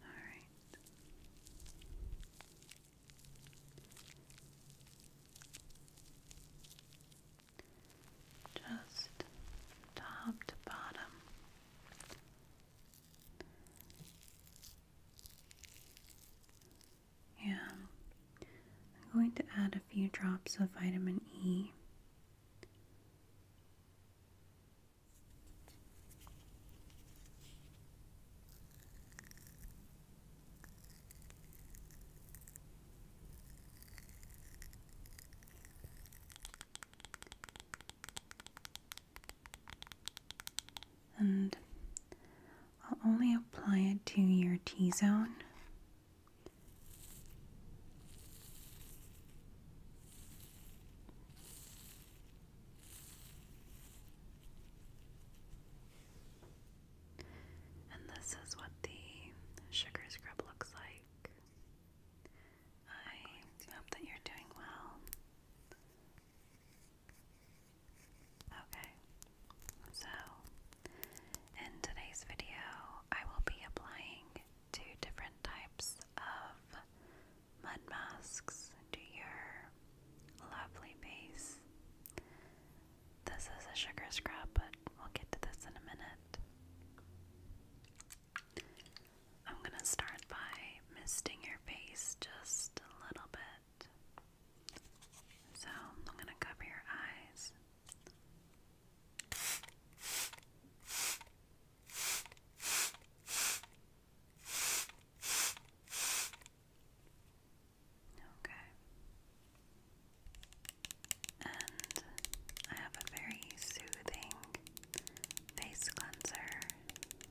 All right. Just top to bottom. Yeah. I'm going to add a few drops of vitamin E. And I'll only apply it to your T zone. And this is what the sugar scrub looks like. I hope that you're doing well. Okay, so in today's video, I will be applying two different types of mud masks to your lovely face. This is a sugar scrub, but we'll get to this in a minute. I'm going to start by misting your face just a little bit. So I'm going to cover your eyes. Okay. And I have a very soothing face cleanser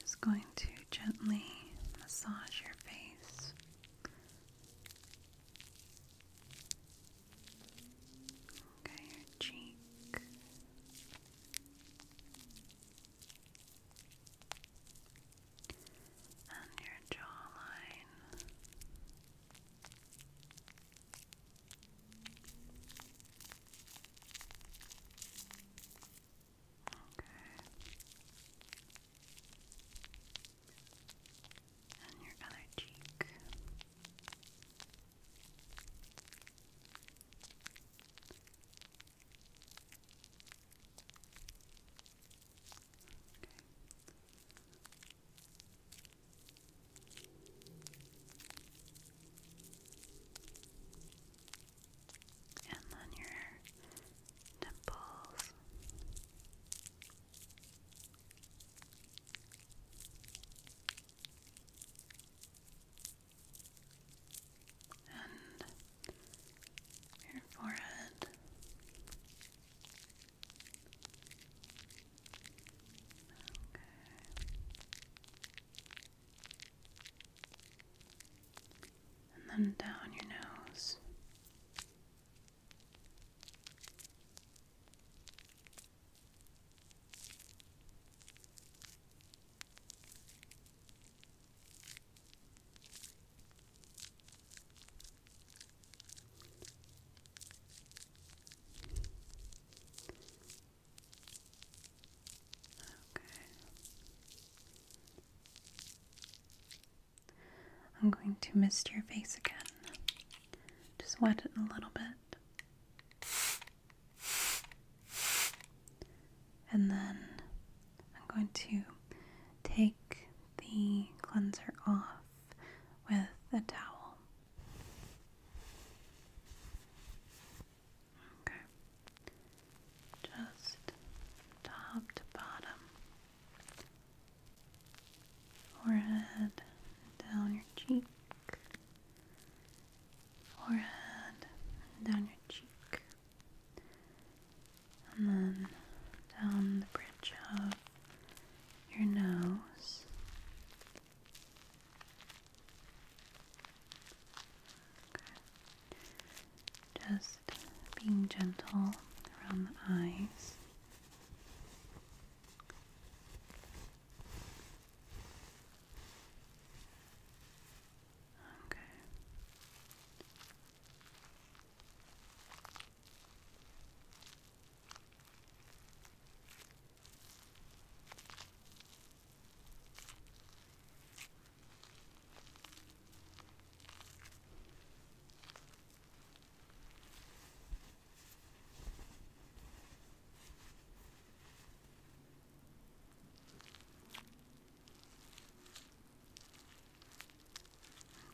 Just going to gently massage your face. Okay, your cheek. And your jawline. Okay. And your other cheek. Okay and then your temples. And your forehead, okay, and then down your nose. Okay. I'm going to mist your face again. Just wet it a little bit. And then I'm going to take the cleanser off with a towel. Okay. Just top to bottom. Forehead down your cheek. Forehead down your cheek. And then down the bridge of your nose. Just being gentle around the eyes. Okay.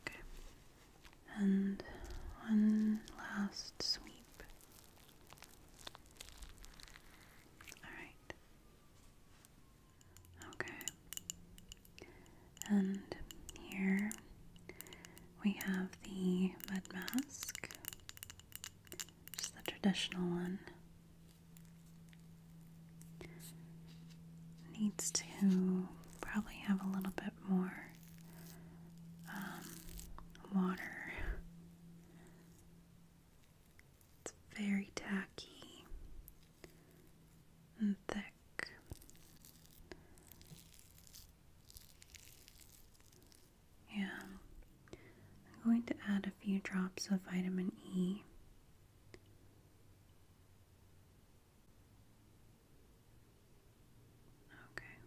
Okay. And one last sweep. All right. Okay. And here we have the mud mask, just the traditional one. Needs to probably have a little bit more um, water it's very tacky and thick. Yeah, I'm going to add a few drops of vitamin E. Okay.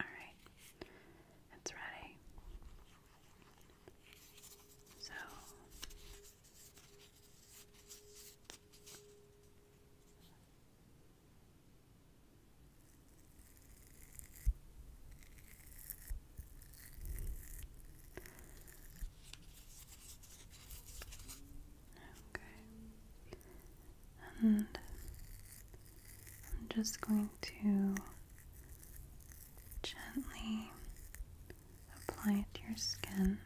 All right, it's ready. So Okay. And I'm just going to gently apply it to your skin.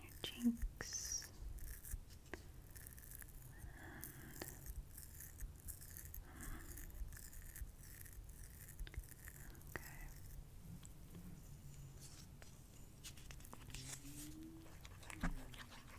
Your cheeks Okay.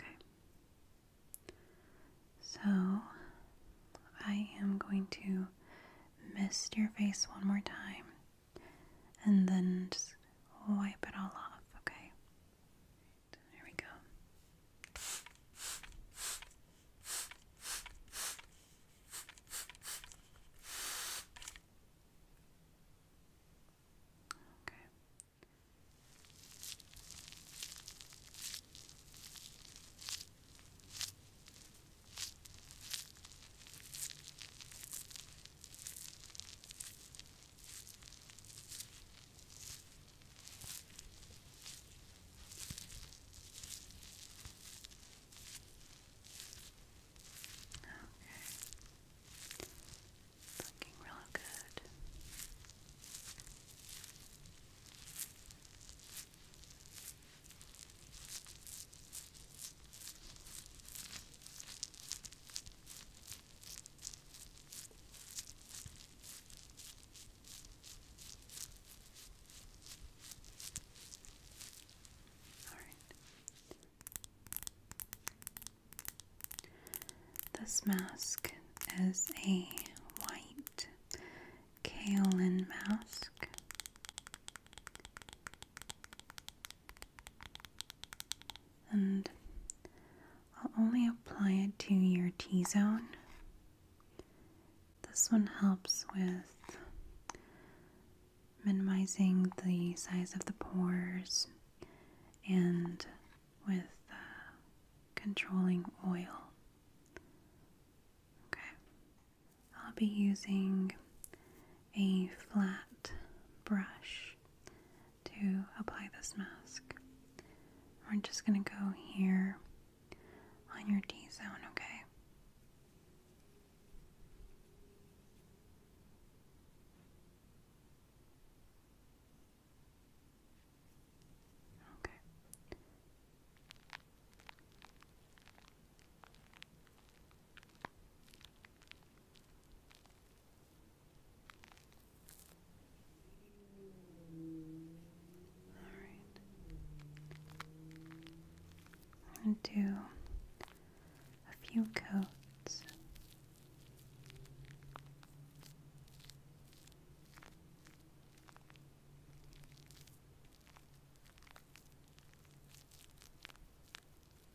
Okay. So I am going to mist your face one more time and then just wipe it all off, okay? There we go. Okay. Looking real good. Okay. This mask is a white kaolin mask. And I'll only apply it to your T zone. This one helps with minimizing the size of the pores and with uh, controlling oil. Okay, I'll be using a flat brush to apply this mask. We're just going to go here on your D zone, okay? Okay. All right. do a few coats.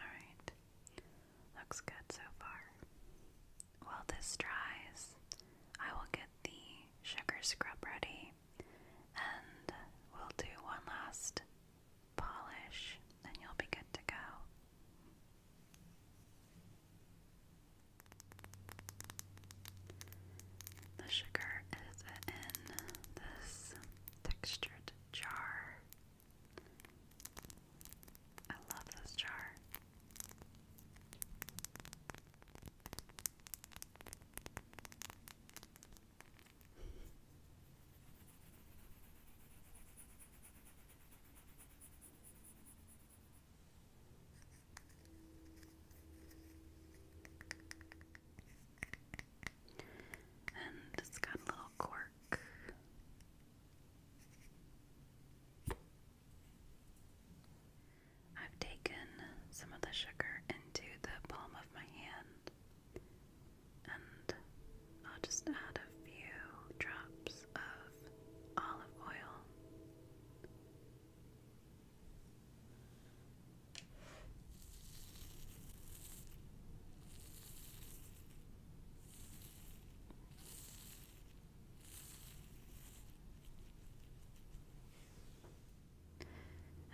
Alright, looks good so far. While this dries, I will get the sugar scrub ready and we'll do one last polish and you'll be good to go. The sugar is in this textured jar. I love this jar. And it's got a little cork. I've taken some of the sugar into the palm of my hand and I'll just add a few drops of olive oil.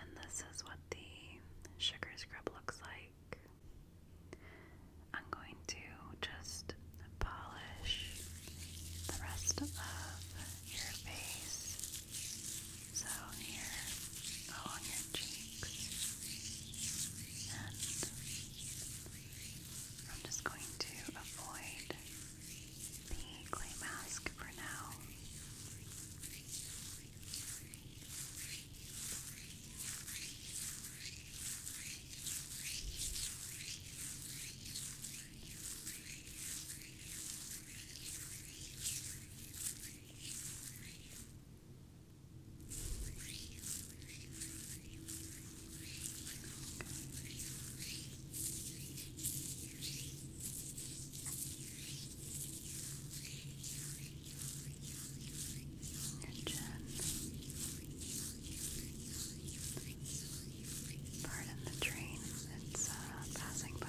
And this is what the sugar scrub looks like. I'm going to just polish the rest of your face, so here along your cheeks, and I'm just going to avoid the clay mask for now your chin, pardon the train that's uh, passing by.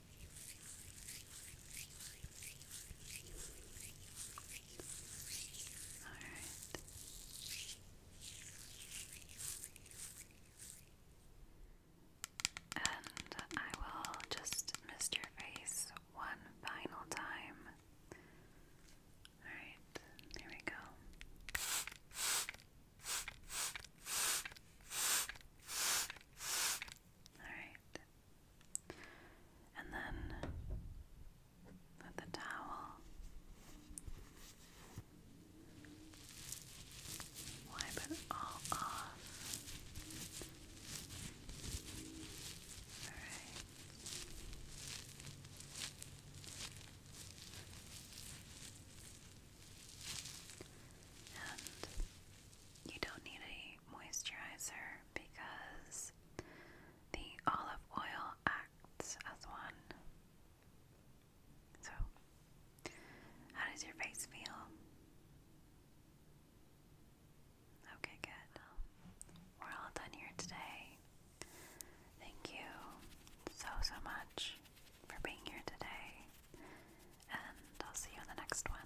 right. And I will just mist your face one final time. Alright, here we go. Alright. And then with the towel, wipe it all off. Alright you don't need a moisturizer because the olive oil acts as one. So, how does your face feel? Okay, good. We're all done here today. Thank you so, so much for being here today and I'll see you in the next one.